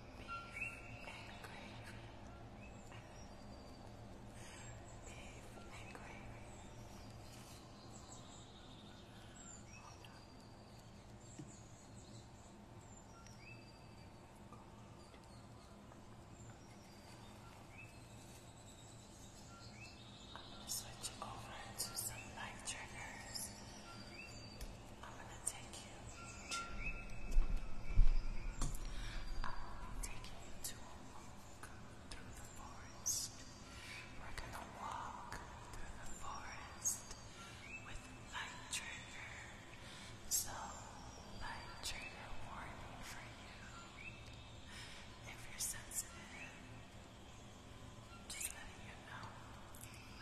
I'm going to switch over to some light triggers. I'm gonna take you I'm going you to a forest. We're gonna walk through the forest with light trigger. So light trigger warning for you. If you're sensitive, just letting you know.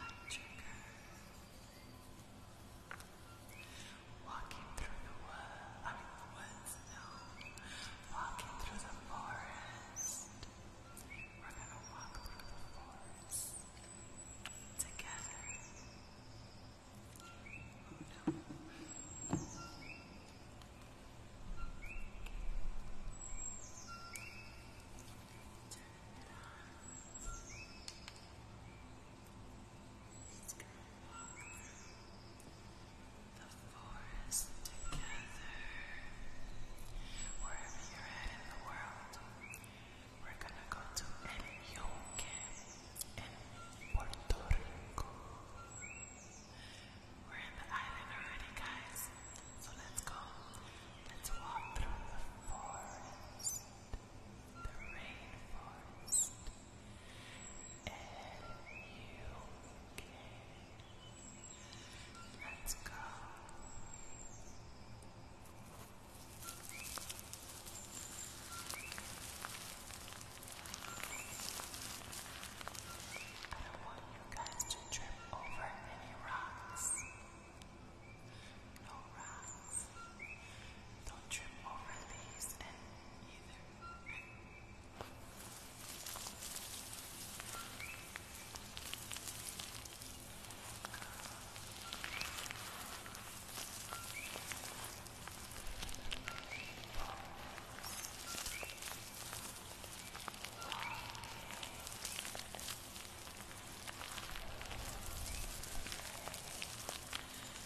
Light trigger. Walking through the woods, no. Walking through the forest. We're gonna walk through the forest together. no the forest together. Wherever you in the world, we're gonna go to El in Puerto Rico. We're in the island already, guys. So let's go. Let's walk through the forest the rainforest, you Let's go. I don't want you guys to trip over any rocks. No rocks. Don't trim over these and either. Thank you.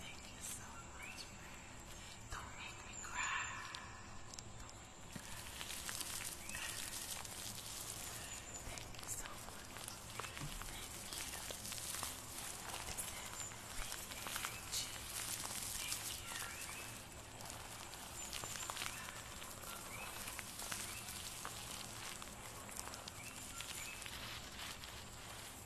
thank you so much, Don't make me cry. Thank you so much. Thank you.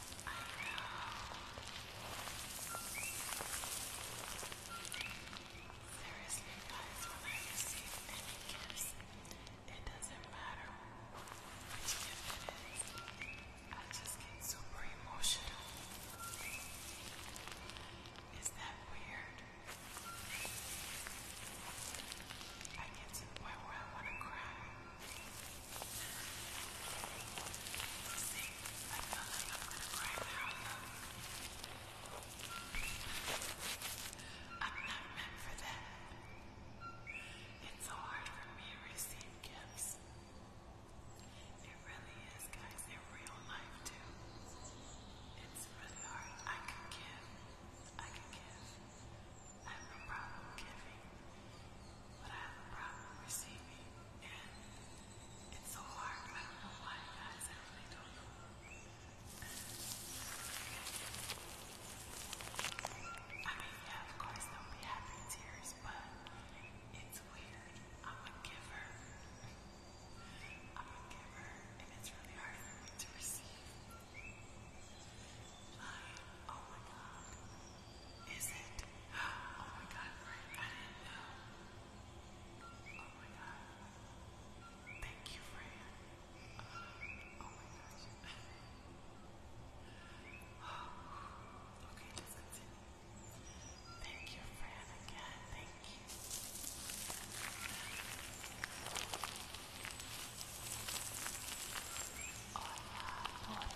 Seriously, guys, when I receive any gifts, it doesn't matter which gift it is. I just get super emotional. Is that weird? I get to the point I cry. I'm not meant for that. It's so hard for me to receive gifts. It really is, guys, in real life too. It's really hard. I can give. I can give. I have no problem giving. But I have a problem receiving. And it's so hard. I don't know why, I really don't know. I mean, yeah, of course, there'll be happy tears, but it's weird. I'm a giver. I'm a giver, and it's really hard for me to receive. oh my god. Is it? Oh my god, Frank, I didn't know. Oh my god. Thank you, Fran. Uh, oh my gosh. okay, let's continue. Thank you, Fran, again. Thank you. Hola, oh, oh, hola.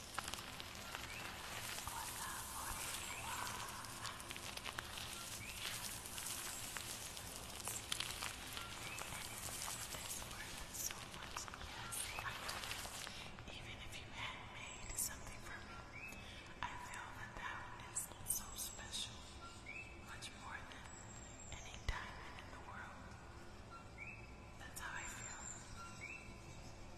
worth I you feel that that is so special, much more than any diamond in the world. That's how I feel.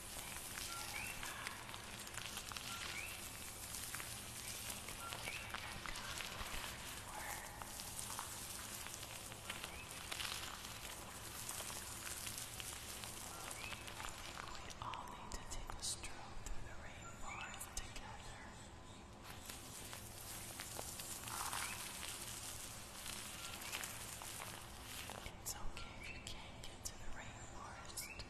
we all need to take a stroll through the rainforest together. It's okay if you can't get to the rainforest.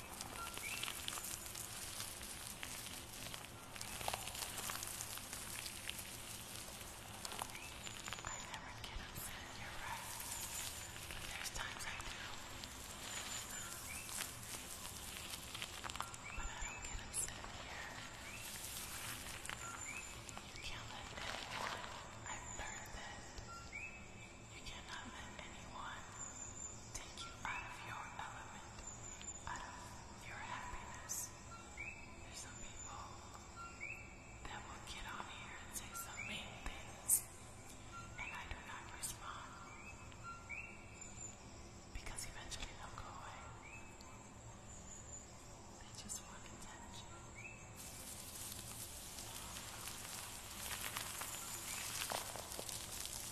I never get upset, you're right. But there's times I do. But I don't get upset here. You can't let that one. I've learned that. You cannot let anyone take you out of your element, out of your happiness. There's some people that will get on here and say some mean things, and I do not respond because eventually they'll go away. They just want attention.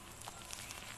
I like your amazing eyed girl.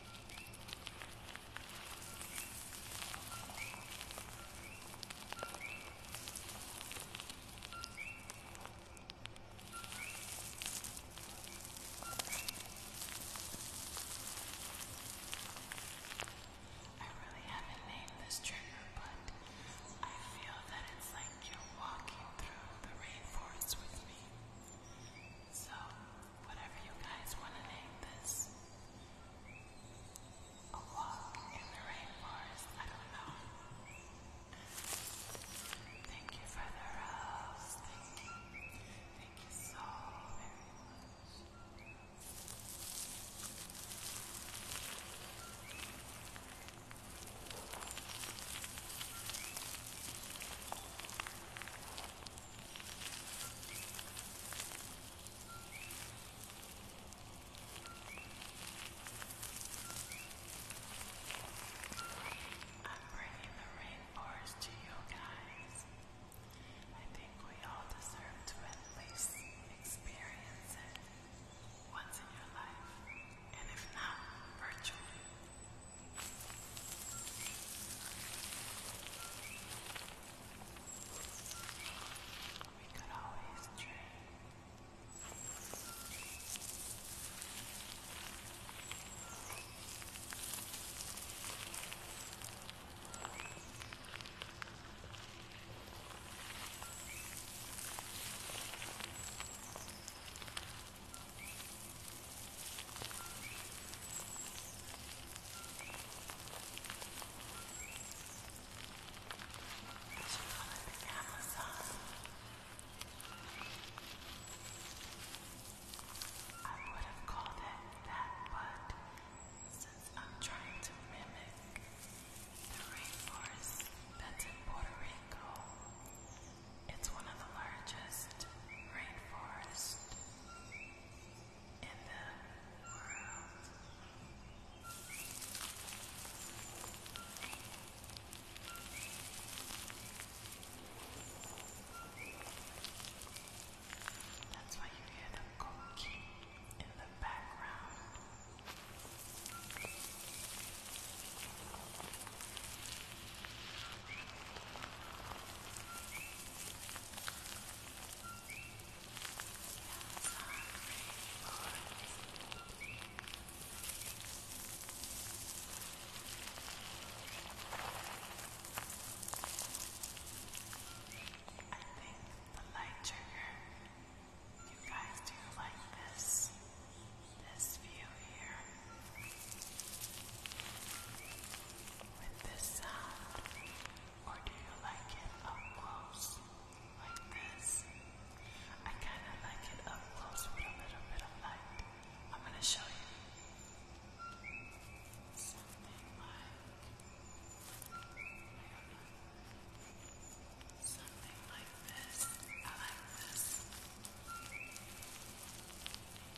I really haven't named this trigger, but I feel that it's like you're walking through the rainforest with me. So, whatever you guys want to name this, a walk in the rainforest, I don't know. Thank you for the rose. Thank you. Thank you so very much. I'm bringing the rainforest to you guys. I think we all deserve to at least experience it once in your life, and if not, virtually. We could always try. I would have called it that, but since I'm trying to mimic the rainforest that's in Puerto Rico, it's one of the largest rainforests in the world. That's why you hear the cooking in the background the light trigger. You guys do like this this view here with this sound, or do you like it up close like this? I kind of like it up close with a little bit of light. I'm going to show you something like something like this. I like this. I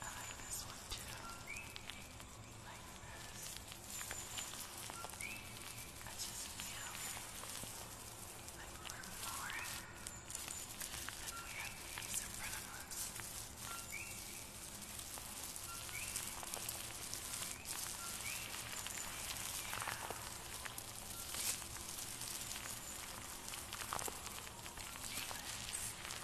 I like this one too. Like this. I just feel like we're more than we have these in front of us. Yeah. Let's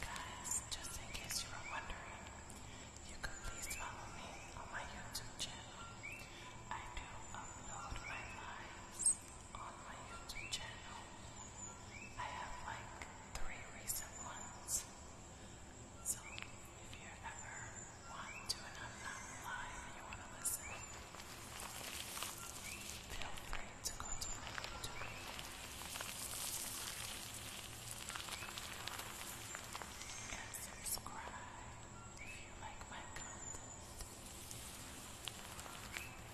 guys, just in case you are wondering, you could please follow me on my YouTube channel. I do upload my lives on my YouTube channel. I have like three recent ones. So if you ever want to and i you want to listen, feel free to go to my YouTube. And subscribe if you like my content.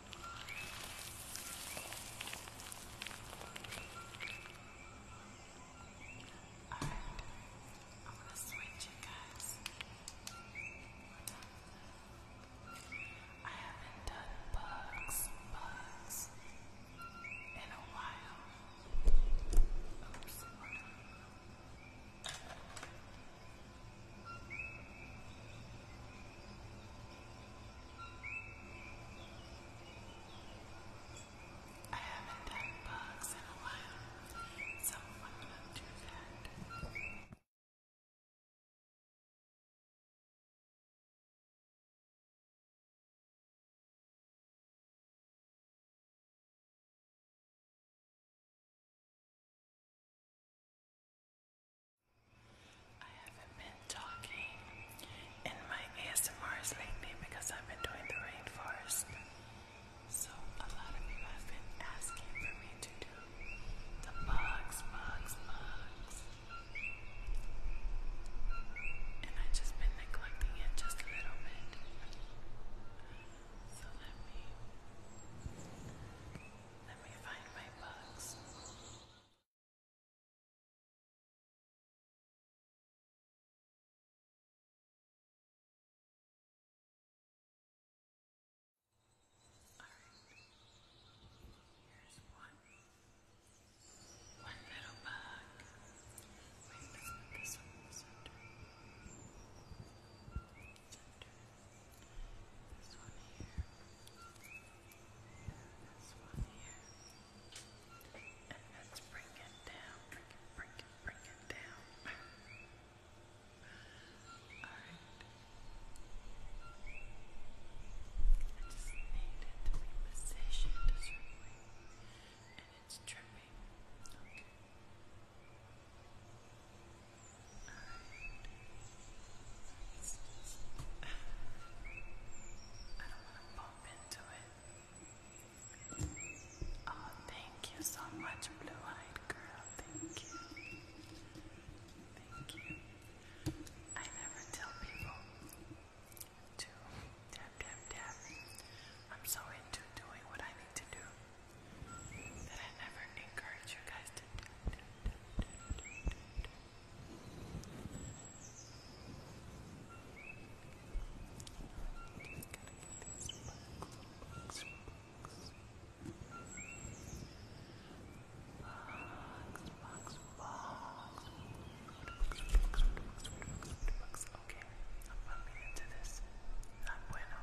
All right, I'm gonna switch you guys. I haven't done bugs, bugs in a while. Oops. All I haven't done bugs in a while, so I'm gonna do that. I haven't been talking in my ASMRs lately because I've been doing the rainforest. So a lot of you have been asking for me to do the bugs, bugs, bugs. And I've just been neglecting it just a little bit. So let me let me find my bugs. Here's one, one little bug. Wait, let's put this one in the center. Center. This one here. This one here. And let's bring it down, bring it, bring it, bring it down. Alright. I just need it to be positioned a certain And it's tripping. Okay. Alright. I don't want to bump into it. Oh, thank you so much, Blue Eyed Girl. Thank you. Thank you. I never tell people to tap, tap, tap. I'm so into doing what I need to do that I never encourage you guys to box. Okay, I'm bumping into this. Not bueno.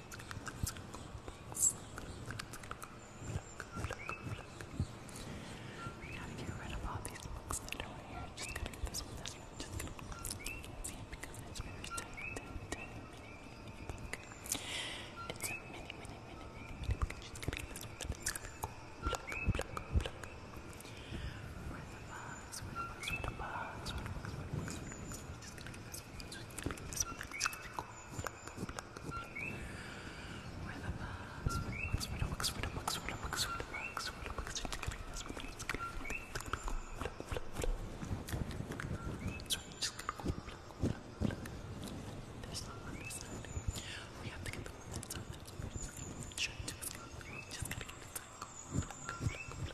We gotta get rid of all these books that are right here. Just gotta get this one. This one. Just gonna see it because it's very tiny, tiny, tiny, mini, mini, mini book. It's a mini, mini, mini, mini, mini book. Just gonna get this one. That is gonna go pluck, pluck, pluck. Where the bugs? Where the bugs? Where the bugs? Where the bugs? Where the bugs? Where the bugs? Where the bugs? Just gonna get this this one is really cool. Where the bugs, where the bugs, where the bugs, where the bugs, where the bugs, where the bugs, where the bugs are tickling. This one is really cool. So I'm just gonna go pluck, pluck, pluck. There's no one this side. We have to get the one that's on that. Sure, just gotta, just gotta get the time. Go, pluck, pluck.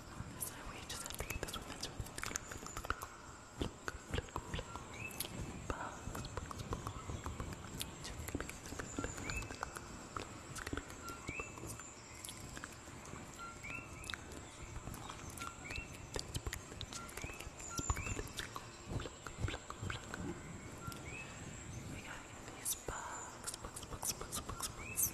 not on this side. We just have to get this one. That's we gotta get these bugs, bugs, bugs, bugs, bugs, bugs.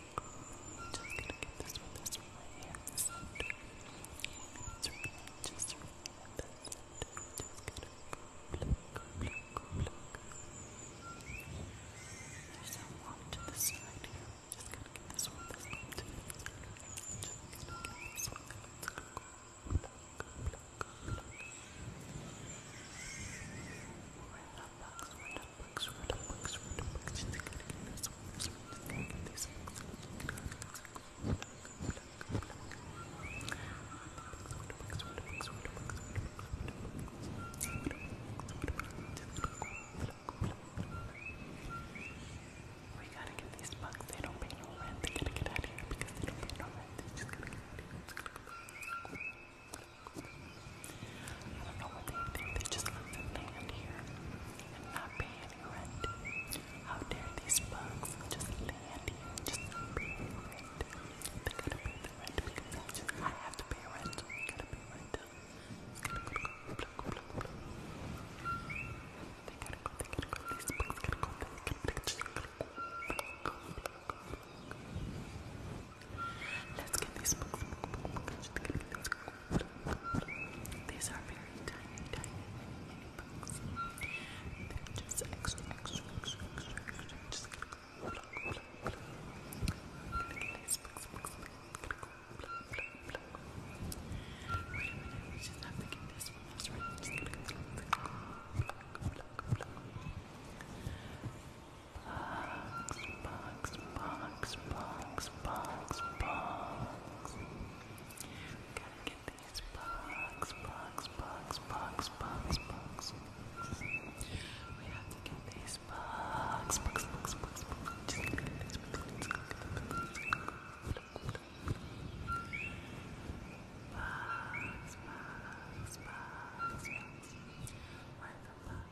Just gonna get this one, this one right here, this center. It's really just right in the center. Just gonna pluck, pluck, pluck. There's a one to the side here. Just gonna get this one, this one to the center. Just gonna get this one, let's go. Pluck, pluck, pluck. Right now, books, random books, random books, random books. We gotta get these bugs, they don't pay no rent, they gotta get out of here because they don't pay no rent, they just gotta get out of here. I don't know what they think. They just live and land here and not pay any rent. How dare these bugs just land here just pay any rent? They gotta pay the rent because I, have to pay rent. they gotta pay rent. They gotta They gotta These bugs gotta go. gotta gotta gotta go. Let's get these books. These are very tiny, tiny, mini books. They're just extra, extra, extra, extra, extra. Just gonna go pluck, pluck, pluck. these books, books, books. Wait a minute, we just have to get this one. That's right. I'm just gonna go pluck, pluck, pluck, pluck. Box, box, box, box, box, box. Gotta get these box, box, box, box, box, box. We have to get these box, box, box, box, box. Just get these box, box, box, box, box. Where's the box?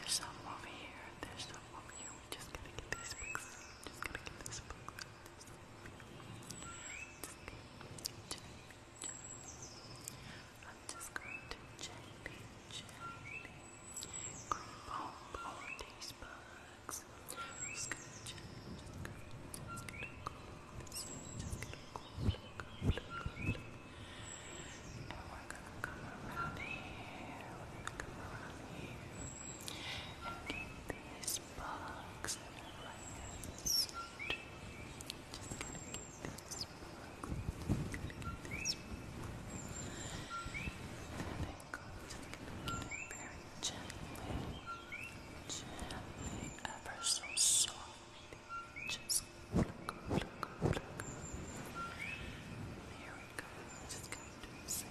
There's some over here, there's some over here just gonna get these books. Just gonna get these books. I'm just going to gently, gently grab hold all these books. I'm just gonna gently, just gonna, just gonna this just gonna go, go, go, go, go. And we're gonna come around here. We're gonna come around here and these bugs in your hands. Just gonna get this bug. go. Just going very gently. Gently, ever so soft. Just pluck, pluck, pluck. Here we go. Just gonna do the same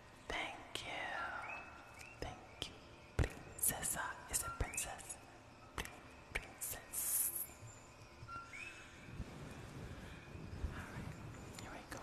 Thank you. Thank you. Princessa. Is a princess? Princess. here we go.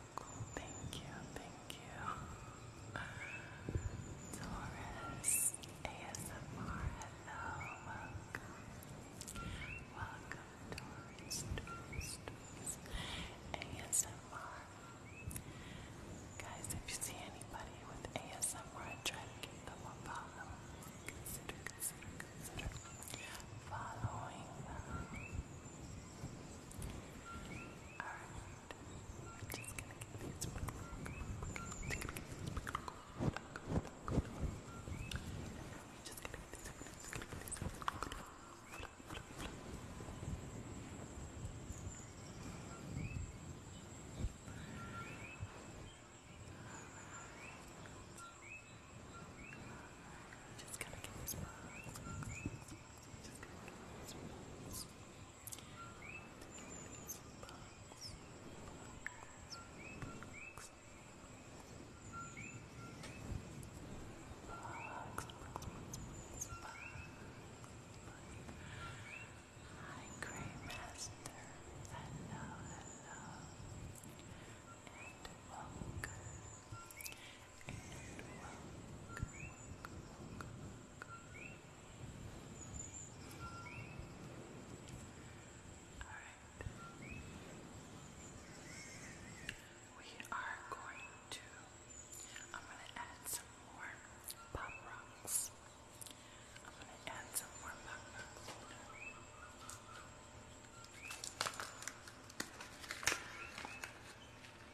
cool. Thank you, thank you. Taurus ASMR, hello, welcome. Welcome, Taurus, Taurus, ASMR. Guys, if you see anybody with ASMR, try to give them a follow. Consider, I'm just gonna get these just gonna get this Hi, Grey Master. Hello, hello, and welcome and welcome, Alright. We are going to, I'm going to add some more pop rocks. I'm going to add some more pop rocks.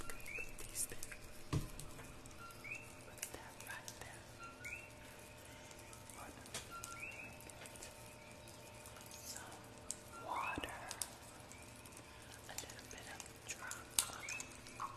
Look at these things. Look at that right there. What? Some water. A little bit of drop. Look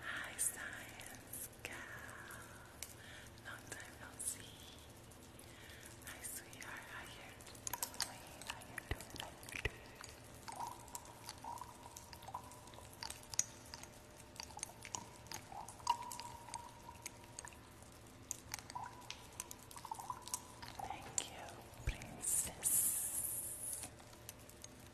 Hi, science gal. Long time no see. Hi, sweetheart. How you doing? doing? How Thank you, princess.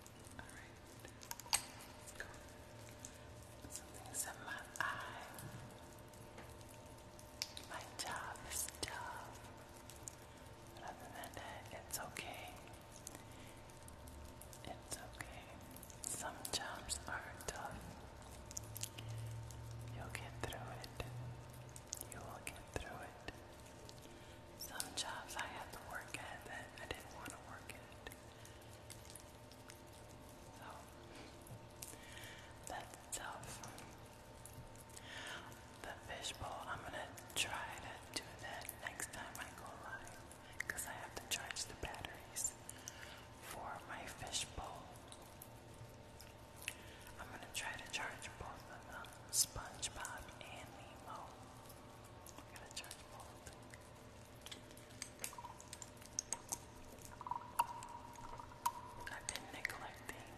Alright. Something in my eye. My job tough. But other than that, it's okay. It's okay. Some jobs are tough. You'll get through it. You will get through it. Some jobs I had to work at that I didn't want to work at. So that's tough. The fishbowl, I'm gonna try to do that next time I go live I have to charge the batteries for my fishbowl. I'm gonna try to charge both of them SpongeBob and Nemo. I'm gonna charge both. I've been neglecting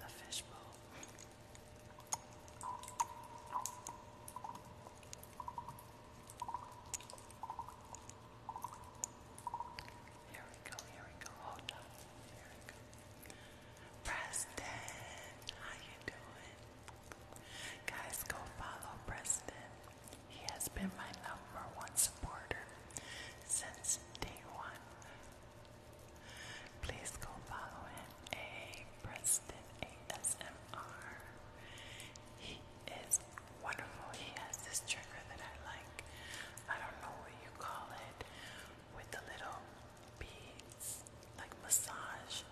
the fishbowl. Here we go, here we go, hold on, here we go. Preston, how you doing? Guys, go follow Preston. He has been my number one supporter since day one. Please go follow him. A Preston ASMR. He is wonderful. He has this trigger that I like. I don't know what you call it. With the little beads, like massage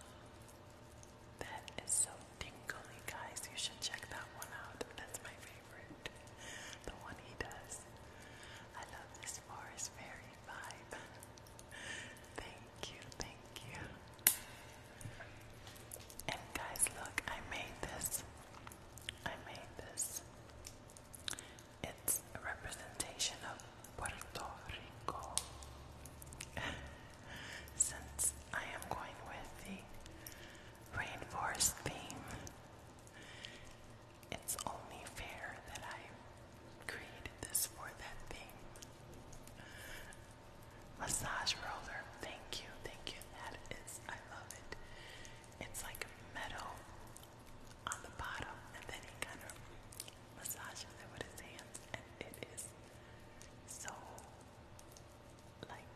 that is so tingly, guys. You should check that one out. That's my favorite. The one he does. I love this Forest Fairy vibe. thank you, thank you. And guys, look, I made this. I made this. It's a representation of Puerto Rico. since I am going with the rainforest theme. It's only fair that I created this for that theme. Massage roller, thank you, thank you. That is, I love it. It's like metal on the bottom, and then he kind of massages it with his hands, and it is so like,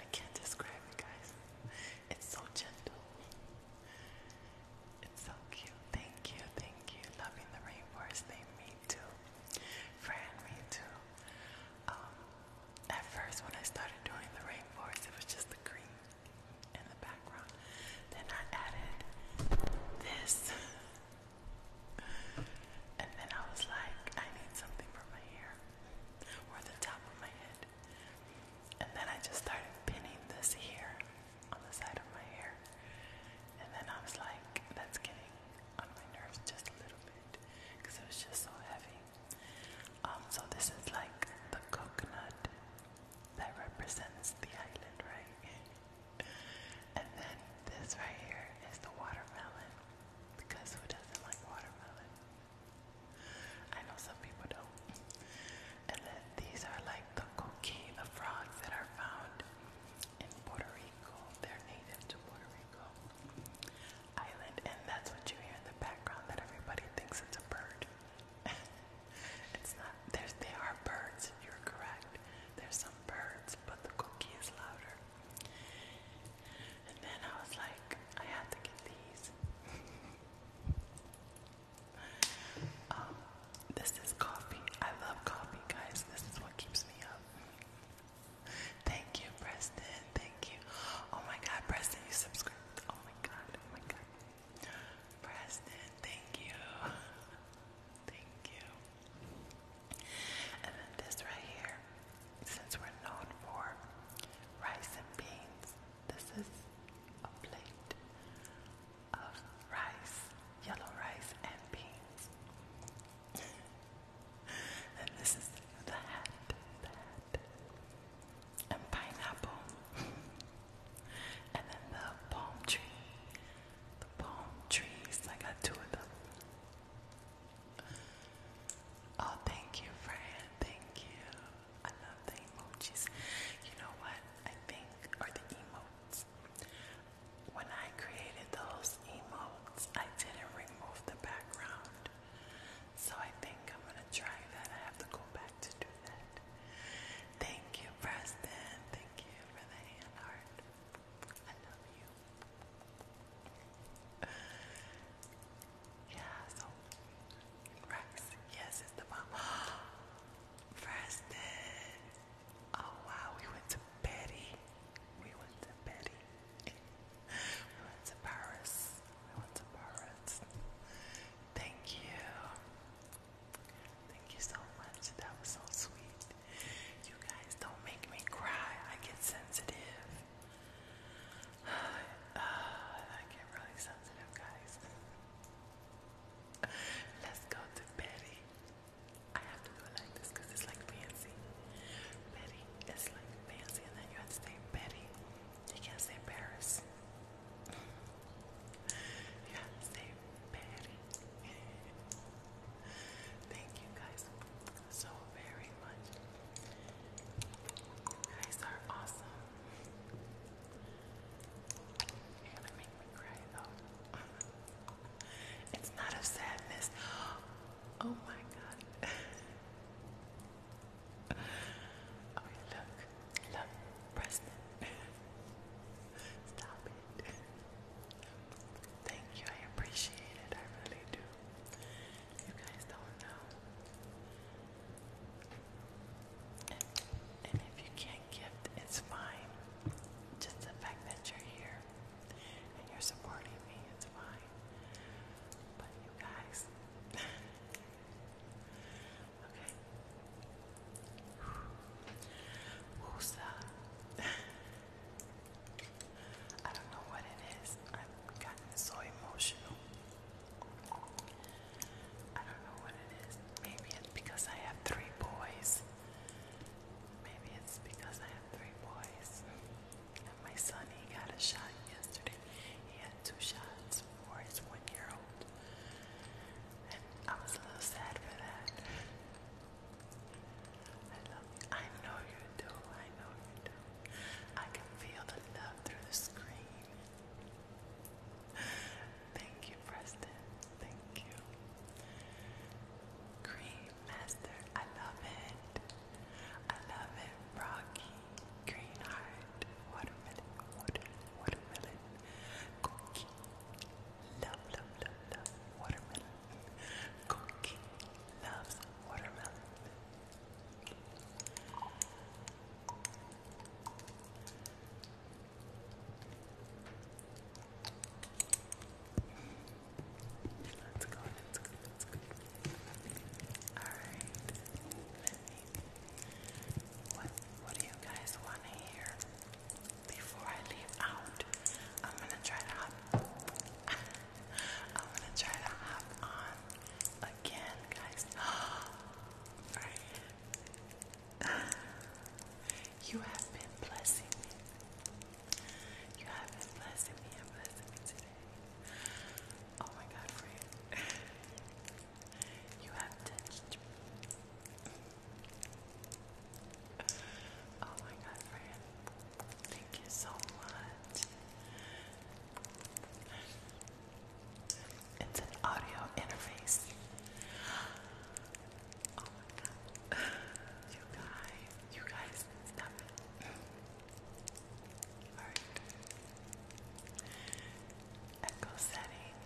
I can't describe it, guys. It's so gentle. It's so cute. Thank you, thank you. Loving the rainforest me too. Fran, me too. Um, at first, when I started doing the rainforest, it was just the green in the background. Then I added this. And then I was like, I need something for my hair or the top of my head. And then I just started pinning this here on the side of my hair. And then I was like, that's getting on my nerves just a little bit because it was just so heavy. Um, so this is like the coconut that represents the island, right? and then this right here is the watermelon. Because who doesn't like watermelon? I know some people don't. And then these are like the coquina frogs that are found in Puerto Rico. They're native to Puerto Rico Island. And that's what you hear in the background that everybody thinks it's a bird. it's not. they are birds. You're correct. There's some birds, but the cookie is louder. And then I was like, I had to get these. Um, this is coffee. I love coffee, guys. This is what keeps me up. Thank you, Preston. Thank you. Oh my God, Preston, you subscribed. Oh my God. Oh my God. Preston, thank you. Thank you. And then this right here, since we're known for rice and beans, this is a plate of rice, yellow rice and beans. and this is the hat, the hat, and pineapple. and then the palm tree, the palm trees, I got two of them. Oh, thank you, Fran. Thank you. I love the emojis. You know what? I think, or the emotes. When I created those emotes, I didn't remove the background. So I think I'm gonna try that. I have to go back to do that. Thank you, Preston. Thank you for the hand heart. I love you. yeah, so Rex, yes, it's the mom. Preston. Oh wow, we went to Betty. We went to Betty. we went to Paris. We went to Paris. Thank you. Thank you so much. That was so sweet. You guys don't make me cry. I get sensitive. Uh, I get really sensitive, guys. Let's go to Betty. I have to do like this because it's like fancy. Betty, it's like fancy, and then you have to say Betty. You can't say Paris. you have to say Betty. Thank you guys so very much. Guys are awesome. You're gonna make me cry though. it's not a sadness. Oh my god. okay, look. Look, Preston. Stop it. Thank you. I appreciate it. I really do. You guys don't know. And, if you can't gift, it's fine. Just the fact that you're here and you're supporting me, it's fine. But you guys, okay. Woosa. I don't know what it is. I've gotten so emotional. I don't know what it is. Maybe it's because I have three boys. Maybe it's because I have three boys. And my son, he got a shot yesterday. He had two shots for his one year old. And I was a little sad for that. I know you do. I know you do. I can feel the love through the screen. Thank you, Preston. Thank you. Cream Master, I love it. I love it. Rocky, Green Watermelon, Water, Watermelon, Cookie. Love, love, love, love, Watermelon, Cookie loves watermelon. Let's go, let's go, let's go. Alright, What, what do you guys want to hear? Before I leave out, I'm gonna try to hop. I'm gonna try to hop on again, guys. Right. You have been blessing me. You have been blessing me and blessing me today. Oh my God, friend. You have touched Oh my God, friend. Thank you so much. It's an audio interface. Oh my god. You guys, you guys, stop it. Echo setting.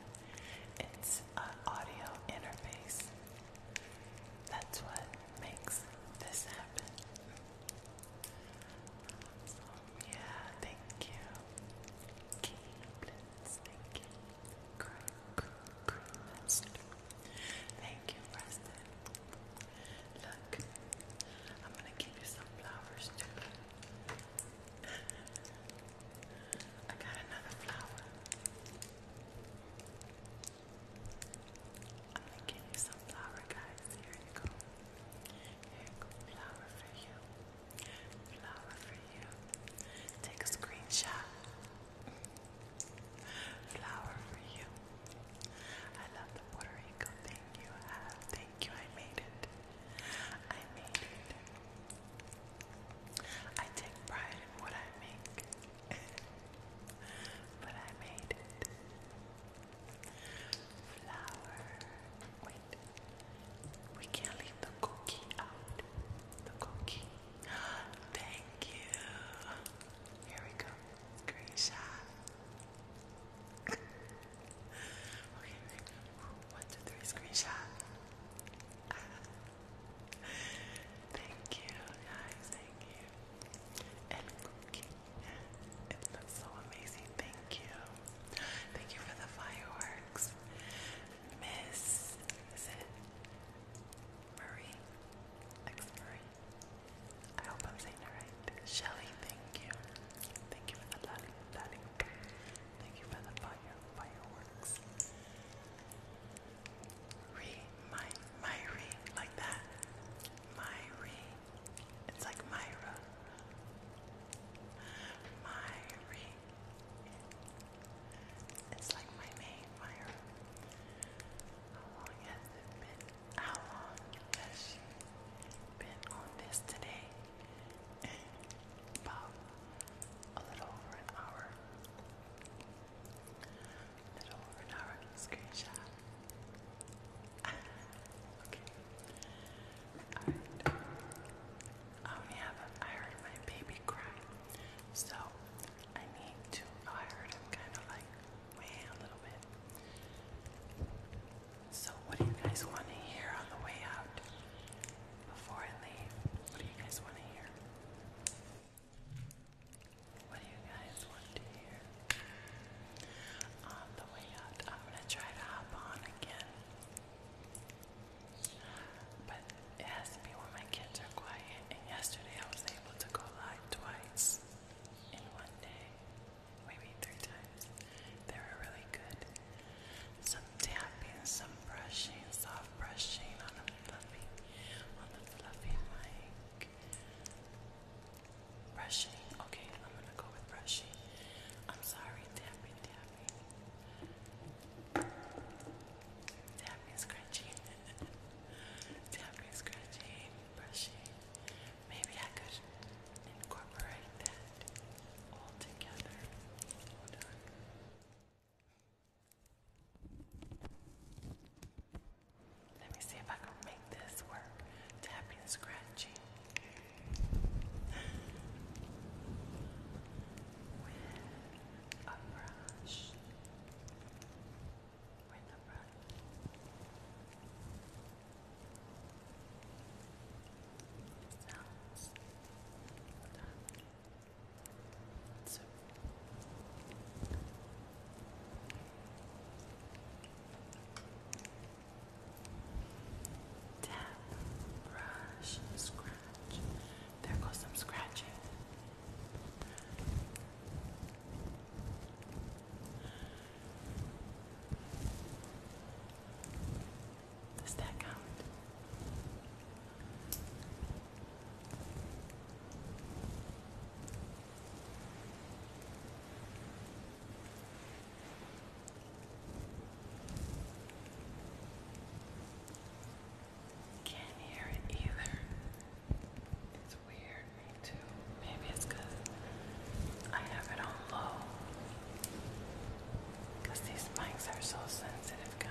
It's an audio interface. That's what makes this happen. Yeah, thank you. Keyblitz, thank you. Cry, Thank you, Preston. Look, I'm gonna give you some flowers too. I got another flower. I'm gonna give you some flour, guys. Here you go. Here you go, for you. Flour for you. Take a screenshot. Flour for you. I love the Puerto Rico. Thank you. thank you. I made it. I made it. I take pride in what I make. but I made it. Flour. Wait. We can't leave the cookie out. The cookie. Thank you. Here we go. Great shot. okay, one, two, three, screenshot. thank you, guys, thank you. And cookie. It so amazing. Thank you. Thank you for the fireworks. Miss, Marie? Ex Marie. I hope I'm saying it right. Shelly, thank you. Thank you for the lolly, lolly. Thank you for the fire, fireworks. Re, my, like that. My it's like Myra. Myri. It's like my name, Myra. How long has it been? How long has she been on this today? About a little over an hour. A little over an hour. Screenshot okay. Alright. Um, I only have heard my baby cry. So I need to oh, I heard him kind of like way a little bit. So what do you guys want to hear on the way out? Before I leave, what do you guys want to hear? What do you guys want to hear? On the way out, I'm gonna try to hop on again. But it has to be when my kids are quiet, and yesterday I was able to go live twice in one day. Maybe three times. They were really good. Some tapping, some brushing, soft brushing on the fluffy, on the fluffy mic. Brushy. Okay, I'm gonna go with brushy. I'm sorry, tapping, tapping. Tapping, scratching. tapping, scratching, brushing. Maybe I could incorporate that all together. Hold on. Let me see if I can make this work. Tapping and scratching. With a brush. With a brush. It sounds done. So. Tap, brush, scratch. There goes some scratching. Does that count? Can't hear it either. It's weird, me too. Maybe it's I have it on low. these mics are so sensitive, guys.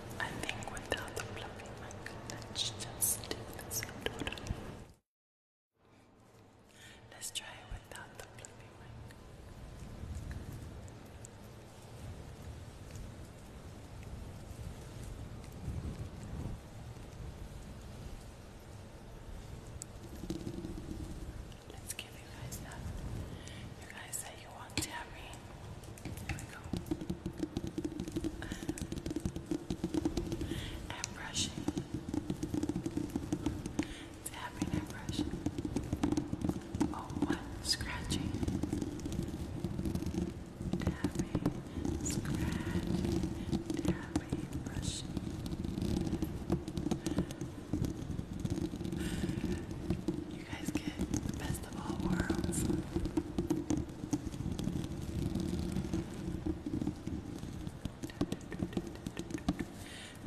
I think without the fluffy mic, let's just do this outdoor. Let's try it without the fluffy mic. Let's give you guys have. You guys say you want to have and brushing. Tapping and brushing. Oh, what? Scratching. Tapping, scratching, tapping, brushing. You guys get the best of all worlds.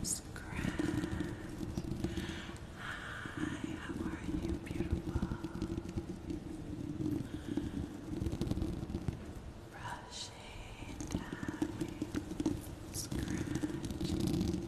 Scratch. Hi, how are you, beautiful? Brushing, tapping, scratching,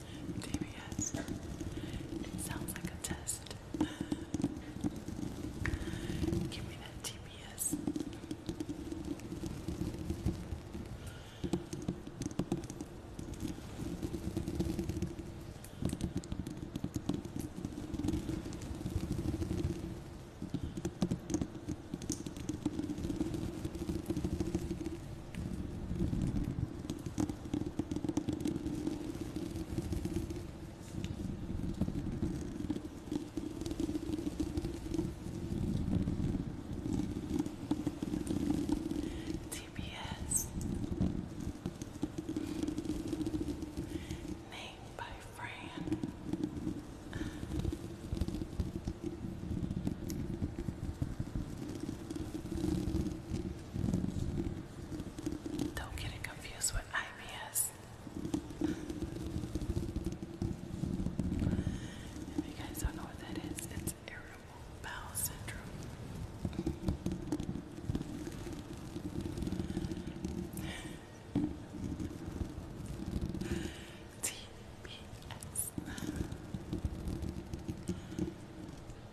DBS. It sounds like a test. Give me that TBS. All TBS named by Fran. Don't get it confused with IBS. If you guys don't know what that is, it's irritable bowel syndrome. TBS.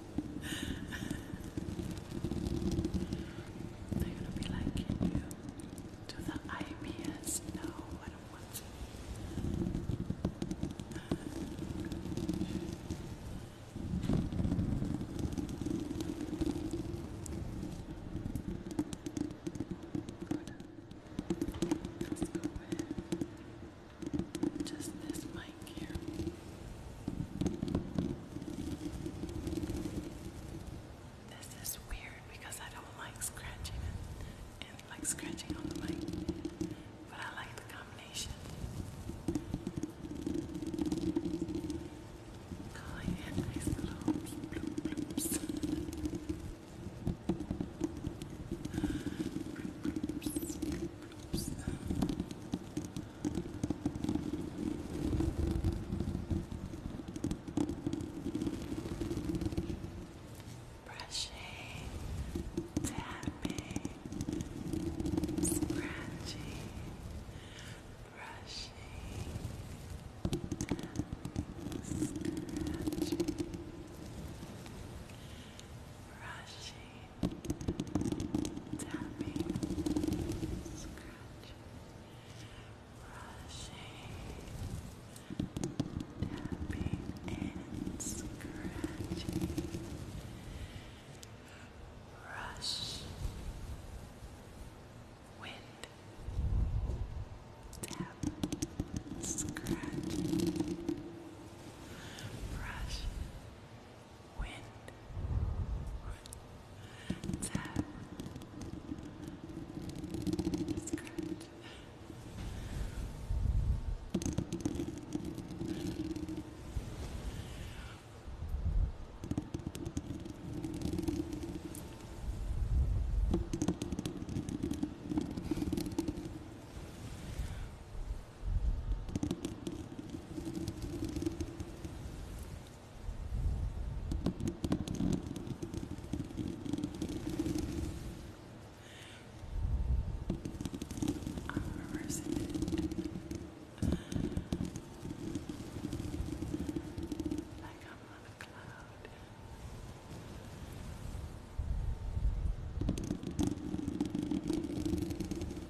They're be like, you do the IBS? No, I don't want to. Good. Let's just this mic here. This is weird because I don't like scratching it and like scratching on the mic, but I like the combination. Calling it nice little bloop bloops. Oops. Brushing, tapping, scratching, brushing, scratching, brushing, tapping, scratching, brushing, tapping and scratching, brush, wind, tap, scratch, brush wind, tap, scratch. Tap, I'm reversing it. Like I'm on a cloud. All I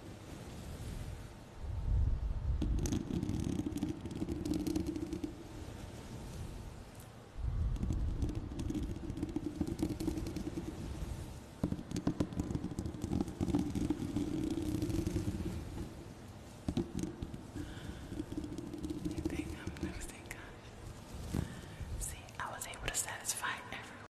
think I'm losing See, I was able to satisfy everyone.